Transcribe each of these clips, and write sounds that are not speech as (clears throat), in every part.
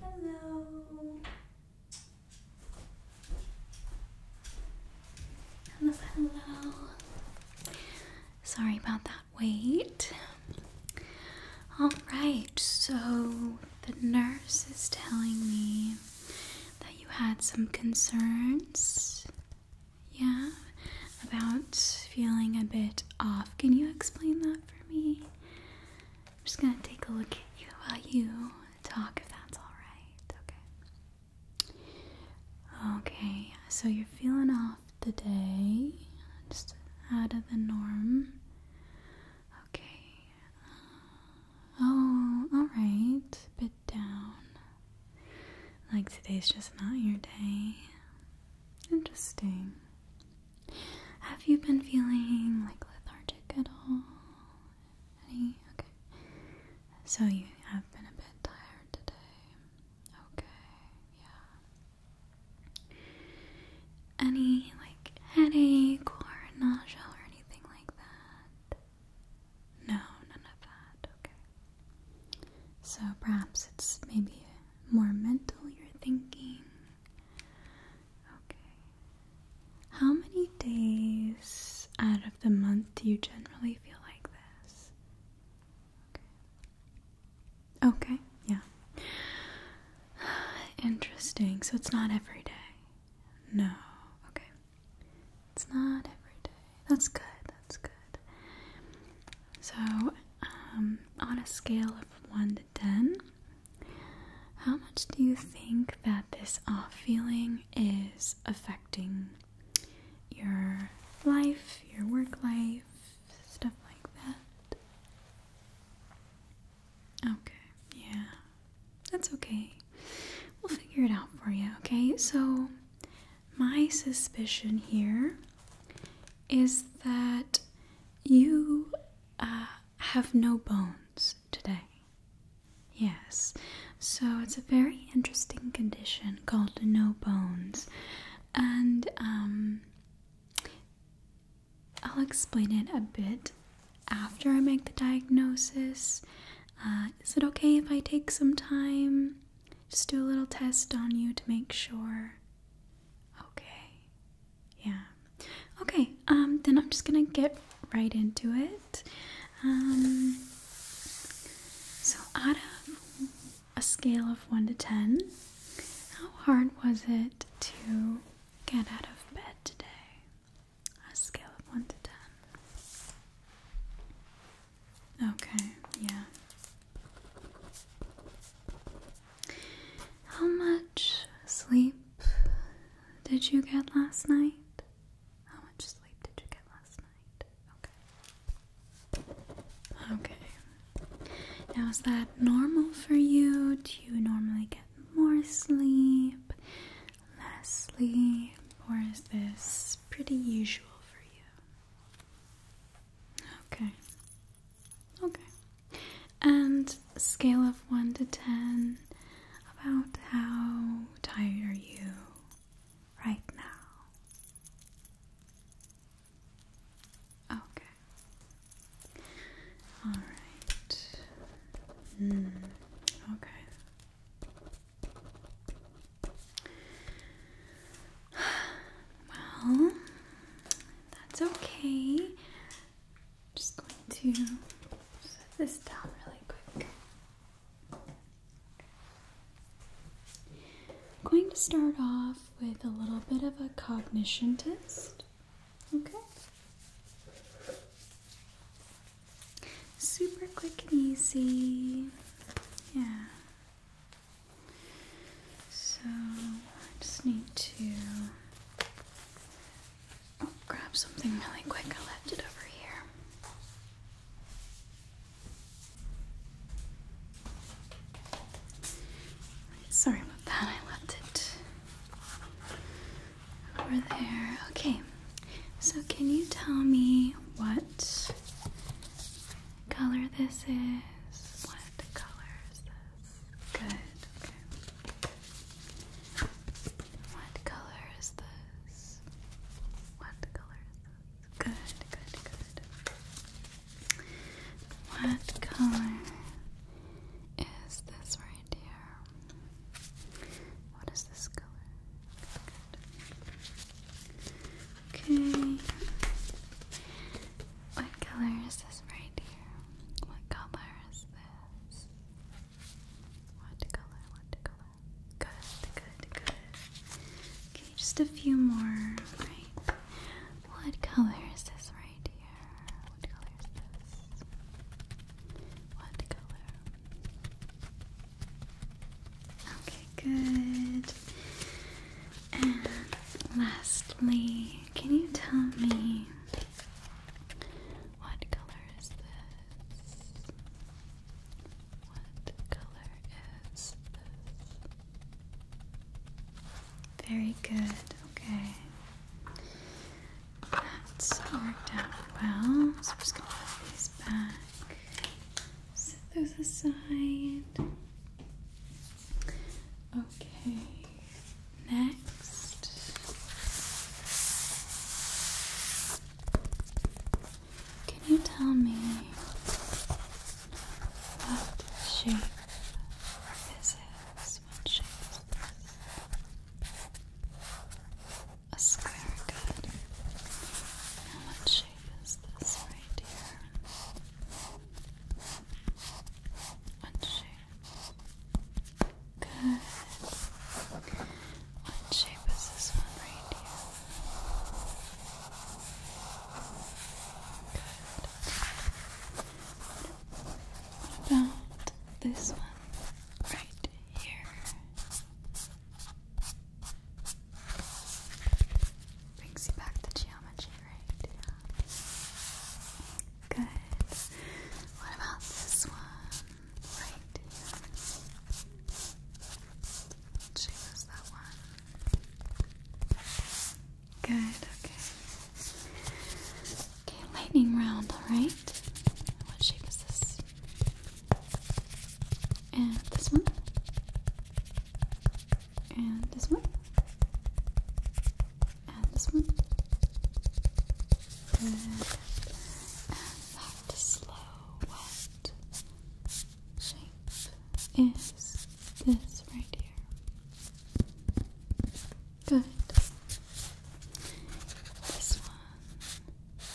Hello. Hello, Sorry about that wait. All right, so the nurse is telling me that you had some concerns. Yeah, about feeling a bit off. Can you explain that for me? I'm just gonna take a look at you while you talk, if that's alright. Okay. Okay, so you're feeling off today, just out of the norm. Okay. Uh, oh, alright. Bit down. Like today's just not your day. Interesting. Have you been feeling like lethargic at all? Any? So you have been a bit tired today. Okay, yeah. Any like headache or nausea or anything like that? No, none of that. Okay. So perhaps it's maybe more mental you're thinking. Okay. How many days out of the month do you generally feel like this? Okay. Okay, yeah. (sighs) Interesting. So it's not every day. No. Okay. It's not every day. That's good. That's good. So, um, on a scale of 1 to 10, how much do you think that this off feeling is affecting your life, your work life, stuff like that? Okay, yeah, that's okay. We'll figure it out for you, okay? So, my suspicion here is that you uh, have no bones today. Yes, so it's a very interesting condition called no bones, and um, I'll explain it a bit after I make the diagnosis. Uh, is it okay if I take some time? Just do a little test on you to make sure. Okay. Yeah. Okay. Um then I'm just going to get right into it. Um so out of a scale of 1 to 10, how hard was it to get out of bed today? A scale of 1 to 10. Okay, yeah. How much sleep did you get last night? How much sleep did you get last night? Okay. Okay. Now, is that normal for you? Do you normally get more sleep, less sleep, or is this pretty usual for you? Okay. Okay. And scale of 1 to 10 about how tired are you right now? Okay. All right. Hmm. okay. Well, that's okay. I'm just going to set this down really quick. going to start off with a little bit of a cognition test. Okay? Super quick and easy. Yeah. So I just need to oh, grab something really quick. I left it over here. Sorry about that. I left it over there. Okay. So, can you tell me what color this is. What color is this? Good. What color is this? What color is this? Good, good, good. What color is this right here? What is this color? Okay. What color is this right here? What color is this? What color? What color? Good, good, good. Okay, just a few more. Right. What color is this right here? What color is this? What color? Okay, good. And lastly, can you tell me what color is this? What color is this? Very good, okay. That's worked out well. So I'm just gonna put these back, set those aside. Okay, next. Can you tell me what shape this is? What shape is A square, good. what shape is this right here? One, shape. Good. What shape is this one right here? Good. about this one right here? Brings you back to geometry right Good. What about this one? Right Choose that one. Good, okay. Okay, lightning round, alright? What shape is this? And this one? and this one, and this one. Good. And that slow, wet shape is this right here. Good. This one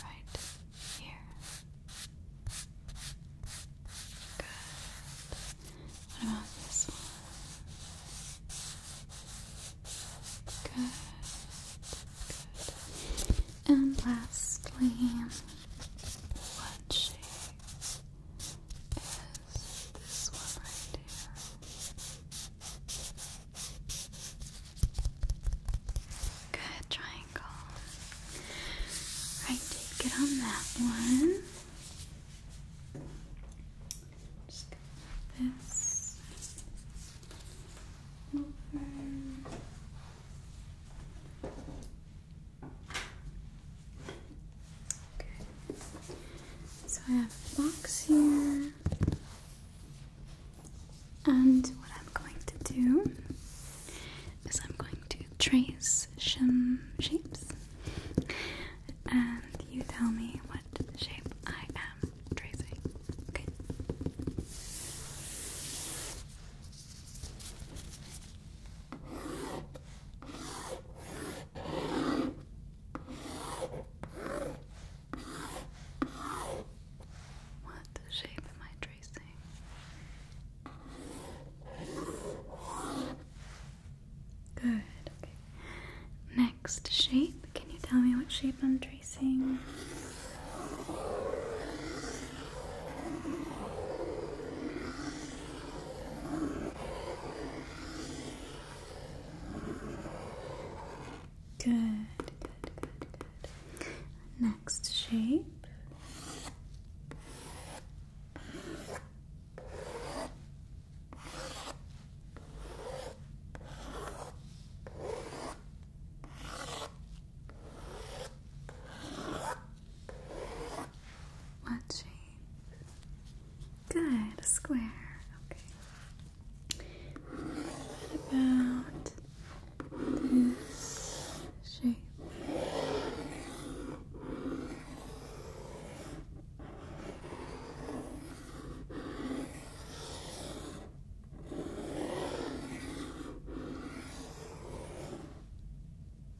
right here. Good. What about this one? Good. Good. And lastly, what shape is this one right here? Good triangle. Right, take it on that one. Just this over. Okay. So I have a box here. And what I'm going to do is I'm going to trace some shapes and you tell me what shape I am tracing. What shape am I tracing? Good, okay. Next shape. Can you tell me what shape I'm tracing? Good, good, good, good. Next shape. What Good, square. Okay. What about this shape?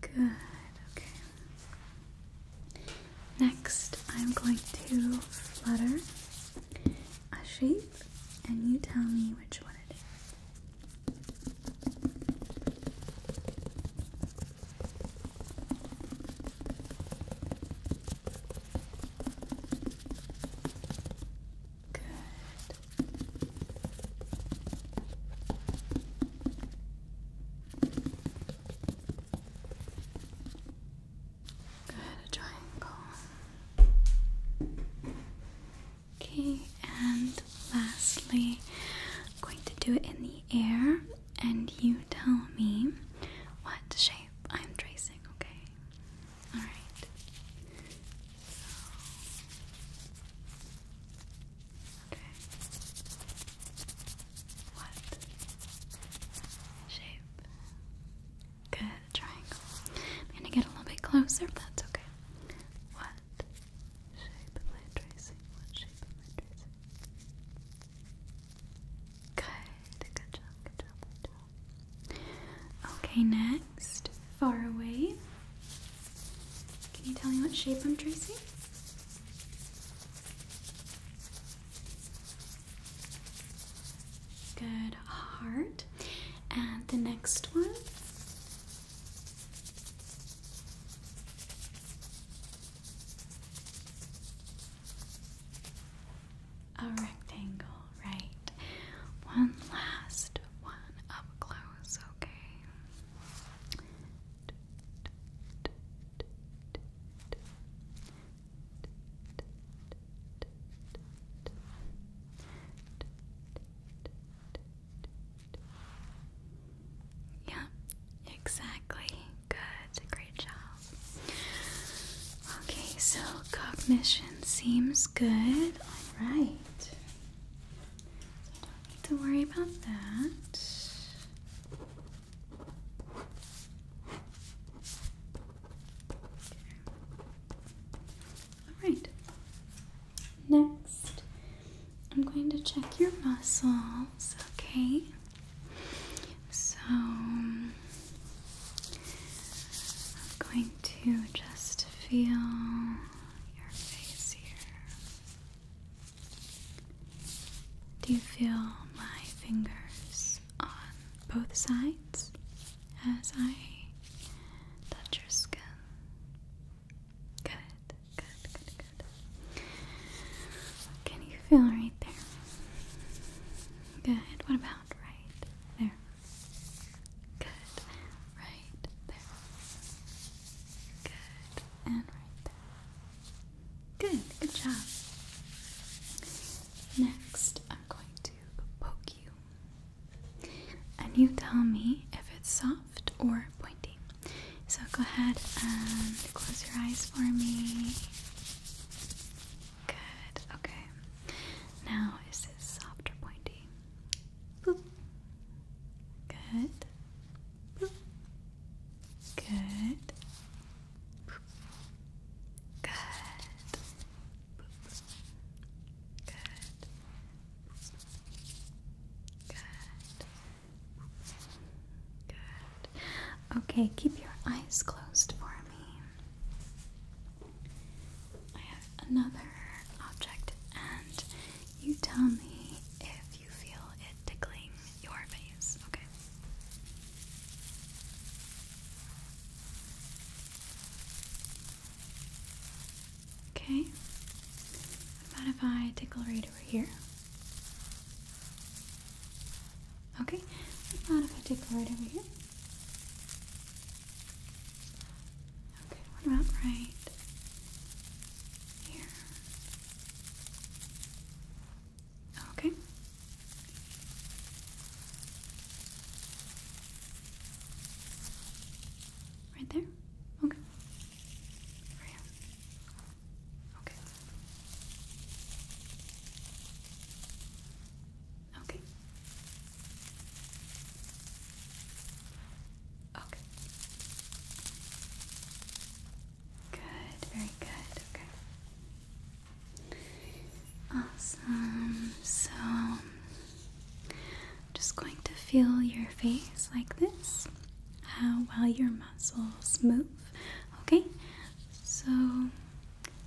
Good, okay. Next, I'm going to flutter a shape and you tell me which one it is. Good. Good, triangle. Okay, and lastly, I'm going to do it in the air and you tell me what shape I'm tracing, okay? Alright. Okay. What shape? Good triangle. I'm gonna get a little bit closer, that's okay. What shape am tracing? What shape am tracing? Good, Okay, next, far away. Can you tell me what shape I'm tracing? Good, heart. And the next one a rectangle, right? One last one up close, okay? Okay, yeah, exactly. Good, great job. Okay, so cognition seems good. Alright. don't need to worry about that. Alright. Next, I'm going to check your muscles, okay? So, I'm going to just feel your face here. Do you feel my fingers on both sides as I touch your skin? Good, good, good, good. Can you feel right there? Good. What about right there? Good. Right there. Good. And right there. Good. Good job. Next, I'm going to poke you. And you tell me if it's soft or pointy. So go ahead and close your eyes for me. Good, okay. Now, is this soft pointy? Boop. Good. Good. Good. Good. Good. Okay, keep your eyes closed for me. I have another object, and you tell me if you feel it tickling your face, okay? Okay. What if I tickle right over here? Okay, mind if I take a right over here? Okay, what about right here? Okay. Right there? Okay. Over here. Okay. Okay. Okay. Good, very good. Okay. Awesome. So just going to feel your face like this uh, while your muscles move. Okay? So,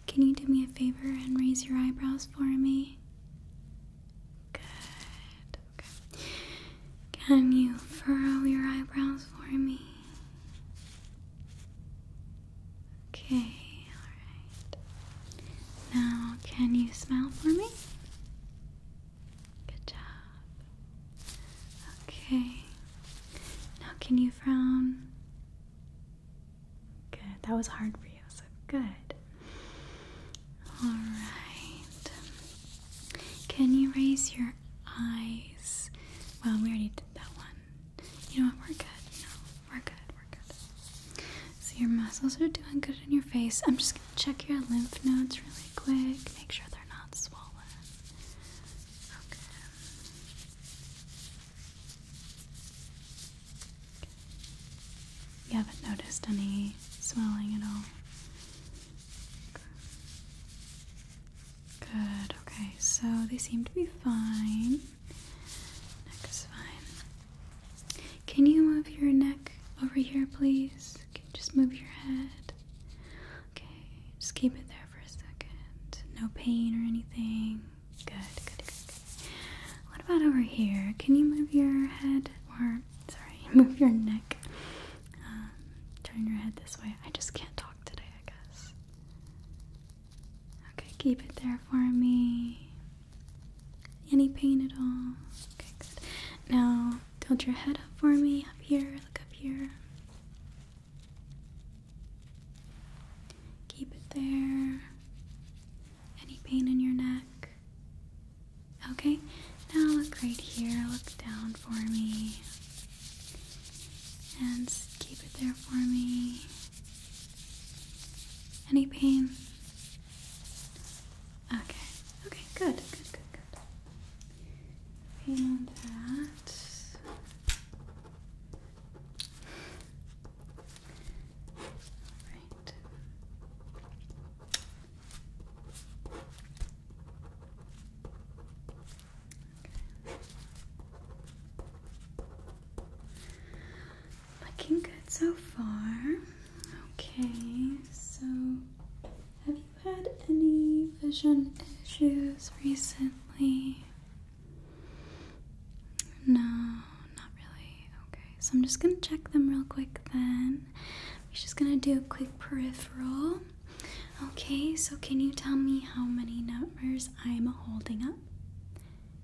can you do me a favor and raise your eyebrows for me? Good. Can you furrow your eyebrows for me? Okay, alright. Now, can you smile for me? Good job. Okay. Now, can you frown? Good. That was hard for you, so good. Alright. Can you raise your eyes? Well, we already did that one. You know what? We're good. No, we're good. We're good. So, your muscles are doing good in your face. I'm just going to check your lymph nodes really quick. Make sure they're not swollen. Okay. You haven't noticed any swelling at all? Good, okay, so they seem to be fine. Neck is fine. Can you move your neck over here, please? just move your head? Okay, just keep it there for a second. No pain or anything. Good, good, good. What about over here? Can you move your head or, sorry, (laughs) move your neck? Um, turn your head this way. I just can't talk today, I guess. Okay, keep it there for me. Any pain at all? Okay, good. Now, tilt your head up for me up here look up here keep it there any pain in your neck okay now look right here look down for me and keep it there for me any pain okay okay good good good good and that. Right. Okay. Looking good so far. Okay, so had any vision issues recently? No, not really. Okay, so I'm just gonna check them real quick then. We're just gonna do a quick peripheral. Okay, so can you tell me how many numbers I'm holding up?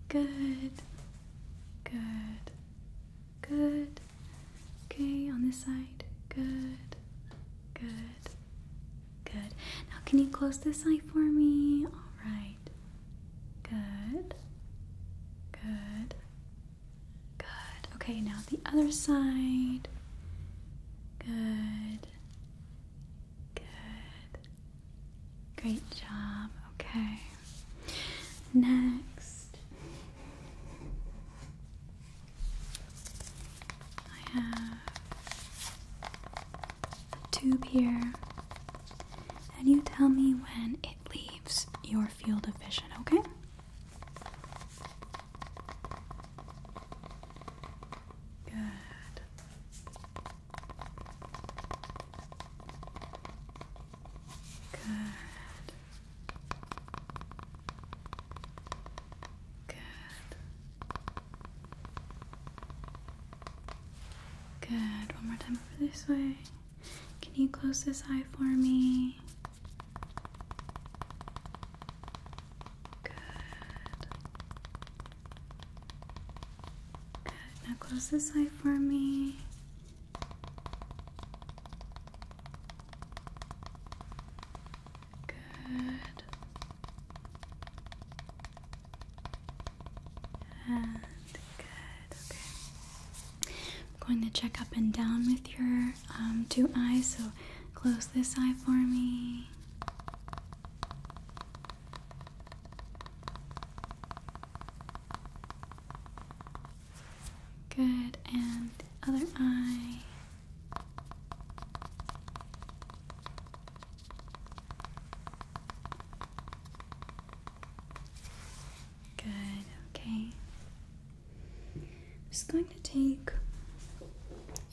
Good, good, good, Okay, on this side. Good. Good. Good. Now, can you close this eye for me? All right. Good. Good. Good. Okay, now the other side. Good. Good. Great job. Okay. Next. I have a tube here, and you tell me when it leaves your field of vision, okay? Good. Good. Good. Good. One more time over this way. Can you close this eye for me? Good. Good. Now close this eye for me. Good. And good. Okay. I'm going to check up and down with your um, two eyes. So close this eye for me. Good. And other eye. Good, okay. I'm just going to take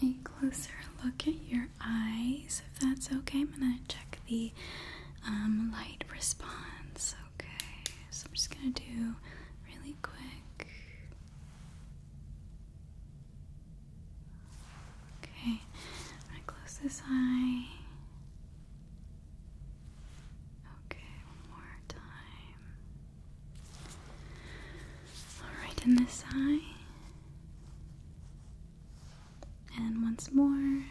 a closer look at your eyes, if that's okay. I'm gonna check the um, light response, okay? So I'm just gonna do really quick Okay, i close this eye. Okay, one more time. Alright, in this eye. And once more.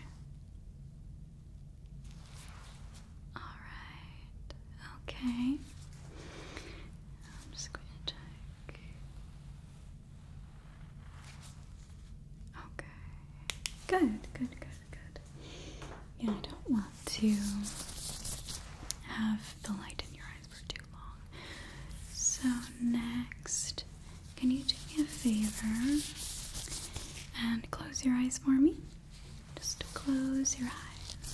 Alright, okay. I'm just going to check. Okay. Good, good, good, good. Yeah, I don't want to have the light in your eyes for too long. So, next, can you do me a favor and close your eyes for me? Just close your eyes.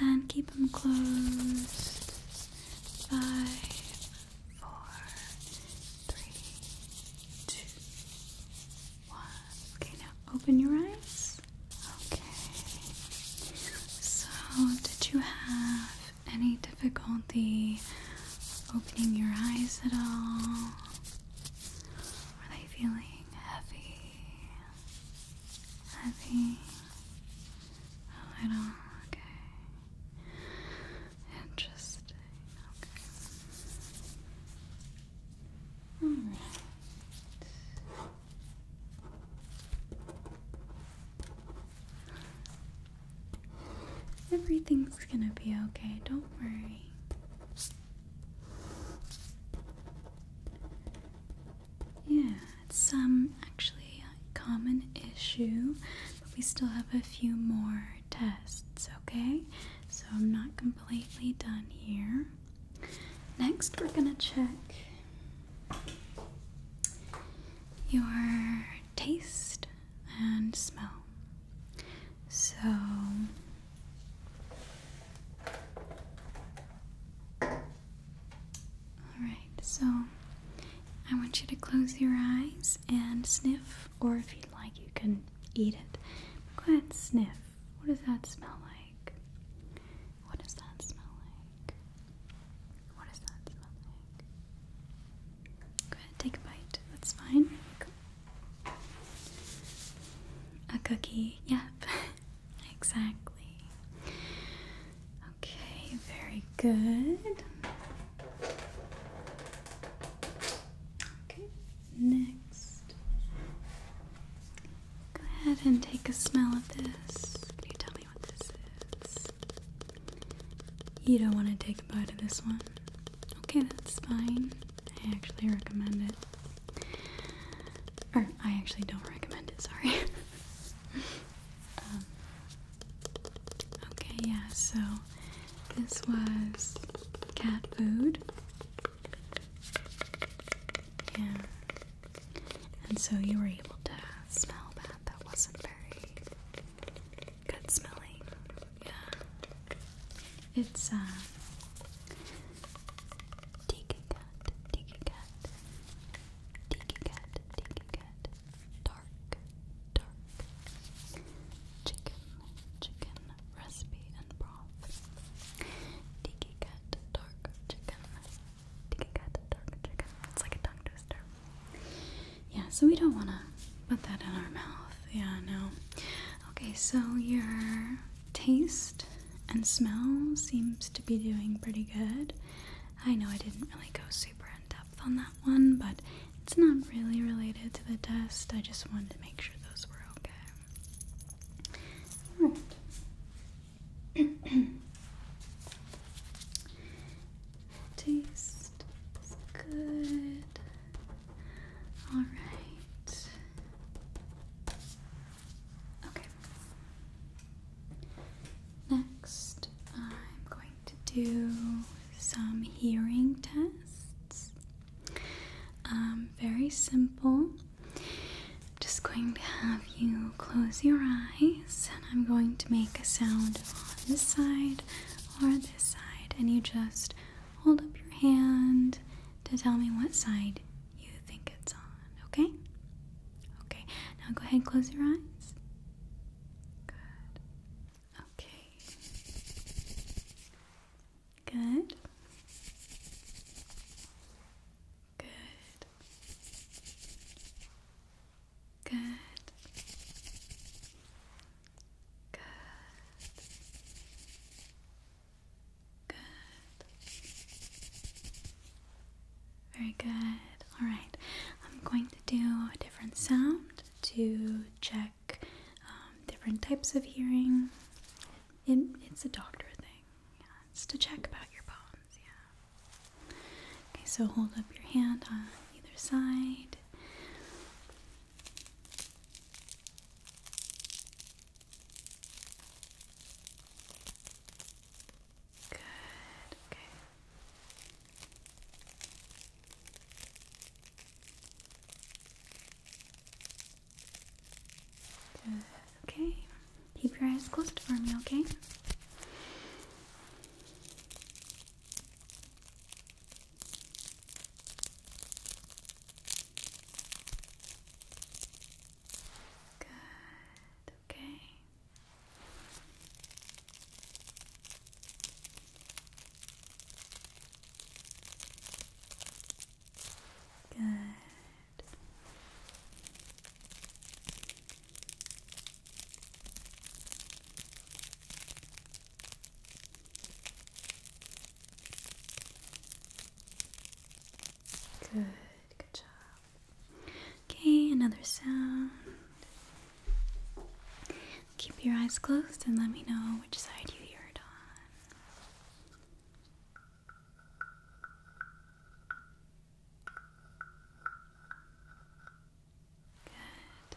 And keep them closed. Five, four, three, two, one. Okay, now open your eyes. Okay. So, did you have any difficulty opening your eyes at all? Are they feeling heavy? having a little, okay, interesting, okay. Alright. Everything's gonna be okay, don't worry. Yeah, it's um actually a common issue, but we still have a few more tests, okay? So I'm not completely done here. Next, we're going to check your taste and smell. So, Alright, so I want you to close your eyes and sniff, or if you'd like, you can eat it. Go ahead, sniff. What does that smell like? What does that smell like? What does that smell like? Go ahead, take a bite. That's fine. A cookie, yep. (laughs) exactly. Okay, very good. Okay, next. Go ahead and take a smell of this. Can you tell me what this is? You don't want to take a bite of this one. Okay, that's fine. I actually recommend it. I actually don't recommend it, sorry. (laughs) Um, okay, yeah, so this was cat food. Yeah. And so you were able to smell that. That wasn't very good smelling. Yeah. It's a uh, tiki cat, tiki cat, tiki cat, tiki cat, dark, dark, chicken, chicken, recipe and broth. Tiki cat, dark chicken, tiki cat, dark chicken. It's like a tongue Yeah, so we don't want to put that in our mouth. Yeah, no. Okay, so you're taste and smell seems to be doing pretty good. I know I didn't really go super in depth on that one, but it's not really related to the test. I just wanted to make sure those were okay. (clears throat) taste is good. Alright. Okay. Next, I'm going to do some hearing tests. Um, very simple. I'm just going to have you close your eyes, and I'm going to make a sound on this side or this side, and you just hold up your hand to tell me what side you think it's on, okay? Okay, now go ahead and close your eyes. Good. Okay. Good. Good. Good. Good. Good. Very good. All right. I'm going to do a different sound to check um, different types of hearing. it's a doctor thing. Yeah, it's to check about your bones. Yeah. Okay. So hold up your hand on either side. Good, okay. Good, okay. Keep your eyes closed for me, okay? Good, okay. Good. Good, good job. Okay, another sound. Keep your eyes closed and let me know which side you hear it on. Good.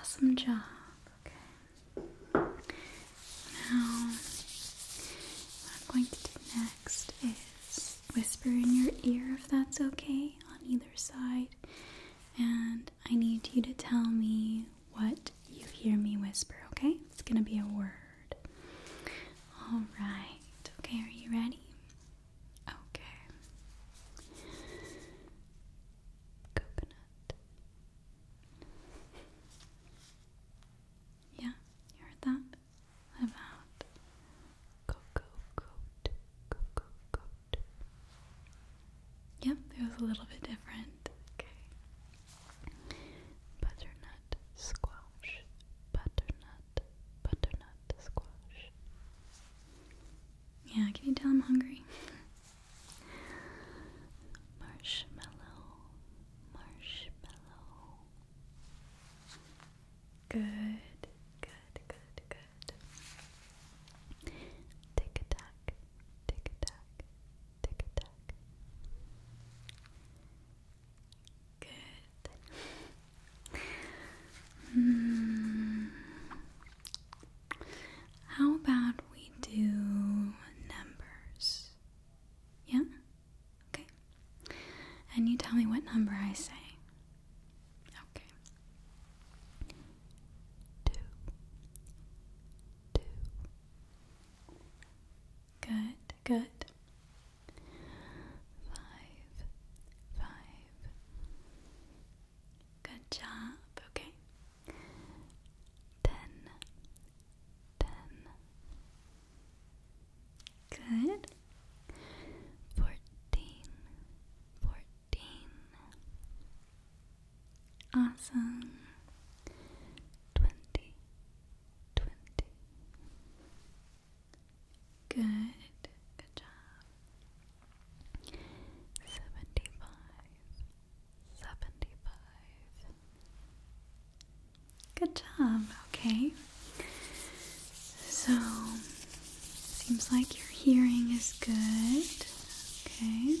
Awesome job. Okay. Now, what I'm going to do next is whisper in your ear if that's okay on either side. And I need you to tell me what you hear me whisper, okay? It's gonna be a word. All right. Okay, are you ready? Okay coconut. Yeah, you heard that? about cocoa coat? Cocoa coat. Yep, it was a little bit different. Okay. Butternut squash. Butternut. Butternut squash. Yeah, can you tell I'm hungry? (laughs) Marshmallow, marshmallow. Good, good, good, good. Tick a tack, tick a tack, tick a tack. Good. mm. How about we do numbers? Yeah? Okay. And you tell me what number I say. Okay. Two. Two. Good, good. Five, five, Good job. Okay. Ten. Ten. Good. Fourteen. Fourteen. Awesome. Twenty. Twenty. Good. Good job seventy five, seventy five. Good job, okay. So, seems like your hearing is good, okay.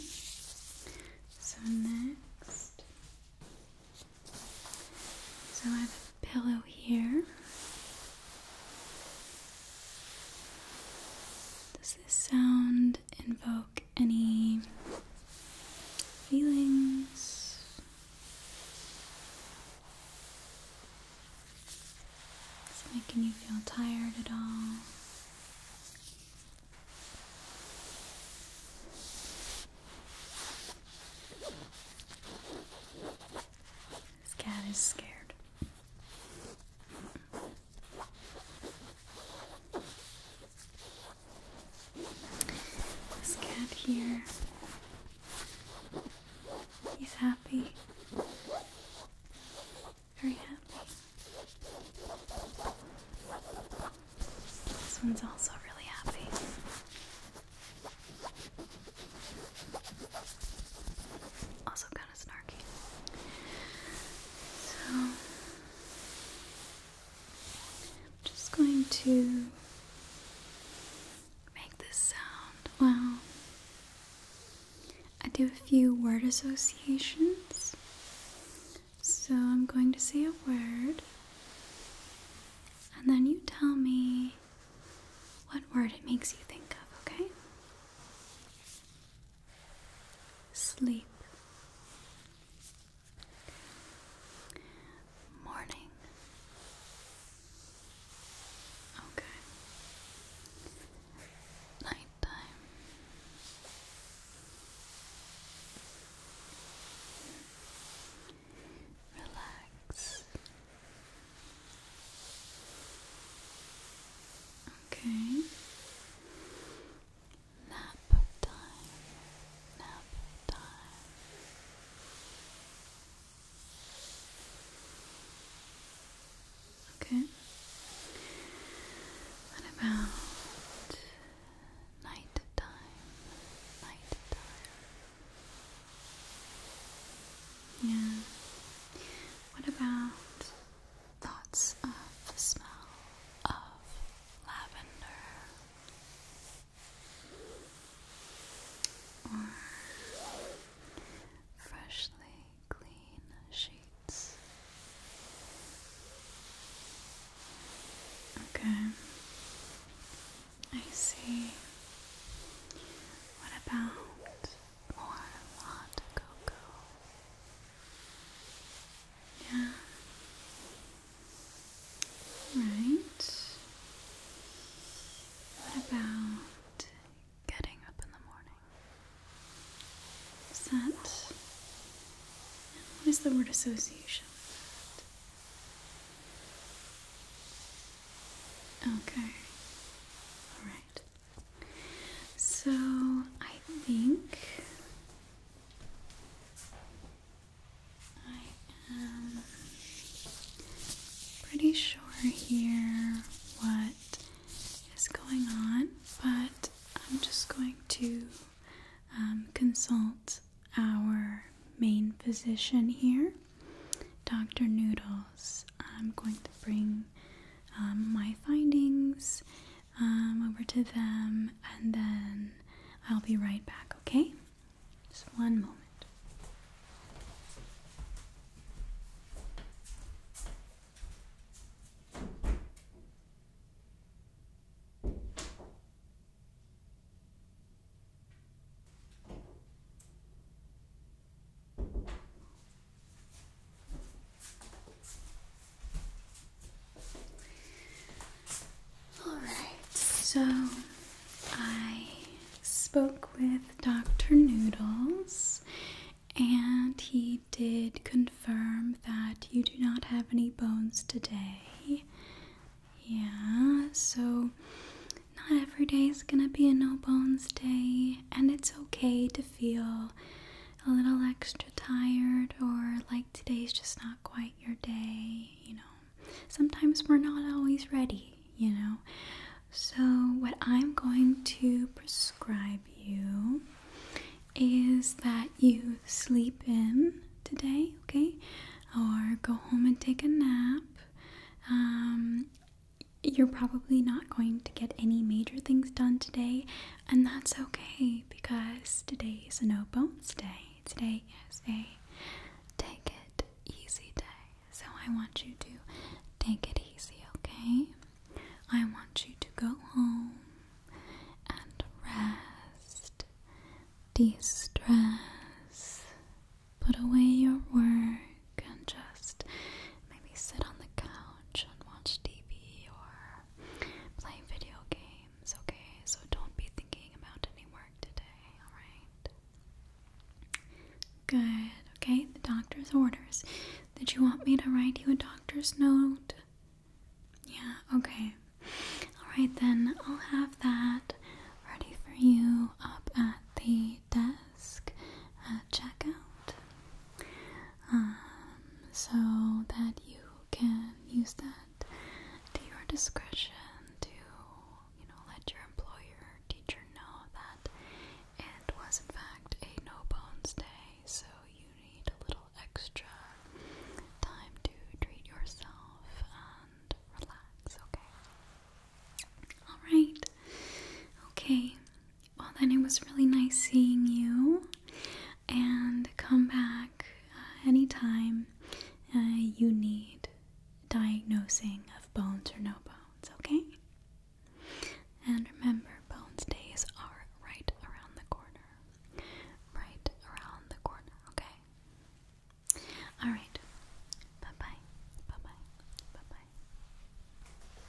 So, next, so I have a pillow here. Does this sound invoke any feelings? Is making you feel tired at all? This cat is scared. This cat here, he's happy, very happy. This one's also really happy. Also, I'm just going to make this sound. Well, I do a few word associations. So, I'm going to say a word, and then you tell me what word it makes you think of, okay? sleep, morning. Okay. Nighttime. Relax. Okay. Nap time. Nap time. Okay. What about night time? Night time. Yeah. What about thoughts of the smell of lavender or freshly clean sheets. Okay, I see. What about warm hot cocoa. Yeah. Right. What about getting up in the morning? Is that what is the word association with that? Okay. All right. So I think I am pretty sure here what is going on, but I'm just going to um, consult our main physician here, Dr. Noodle. I'm going to bring um, my findings um, over to them and then I'll be right back, okay? Just one moment. All right, so I spoke with Dr. Noodles, and he did confirm that you do not have any bones today. Yeah, so not every day is gonna be a no bones day, and it's okay to feel a little extra tired, or like today's just not quite your day, you know. Sometimes we're not always ready, you know. So, what I'm going to prescribe you is that you sleep in today, okay, or go home and take a nap. Um, you're probably not going to get any major things done today, and that's okay because today is a no bones day. Today is a take it easy day. So I want you to take it easy, okay? I want you to go home and rest, de stress, put away your work, and just maybe sit on the couch and watch TV or play video games, okay? So don't be thinking about any work today, alright? Good, okay? The doctor's orders. Did you want me to write you a doctor's note? Yeah, okay. Alright then, I'll have that ready for you up at the desk at uh, checkout um, so that you can use that to your discretion to you know let your employer teacher know that it was in fact a no bones day so you need a little extra time to treat yourself and relax okay all right okay well, then it was really nice seeing you. And come back uh, anytime uh, you need diagnosing of bones or no bones, okay? And remember, bones days are right around the corner. Right around the corner, okay? Alright. Bye bye. Bye bye. Bye bye.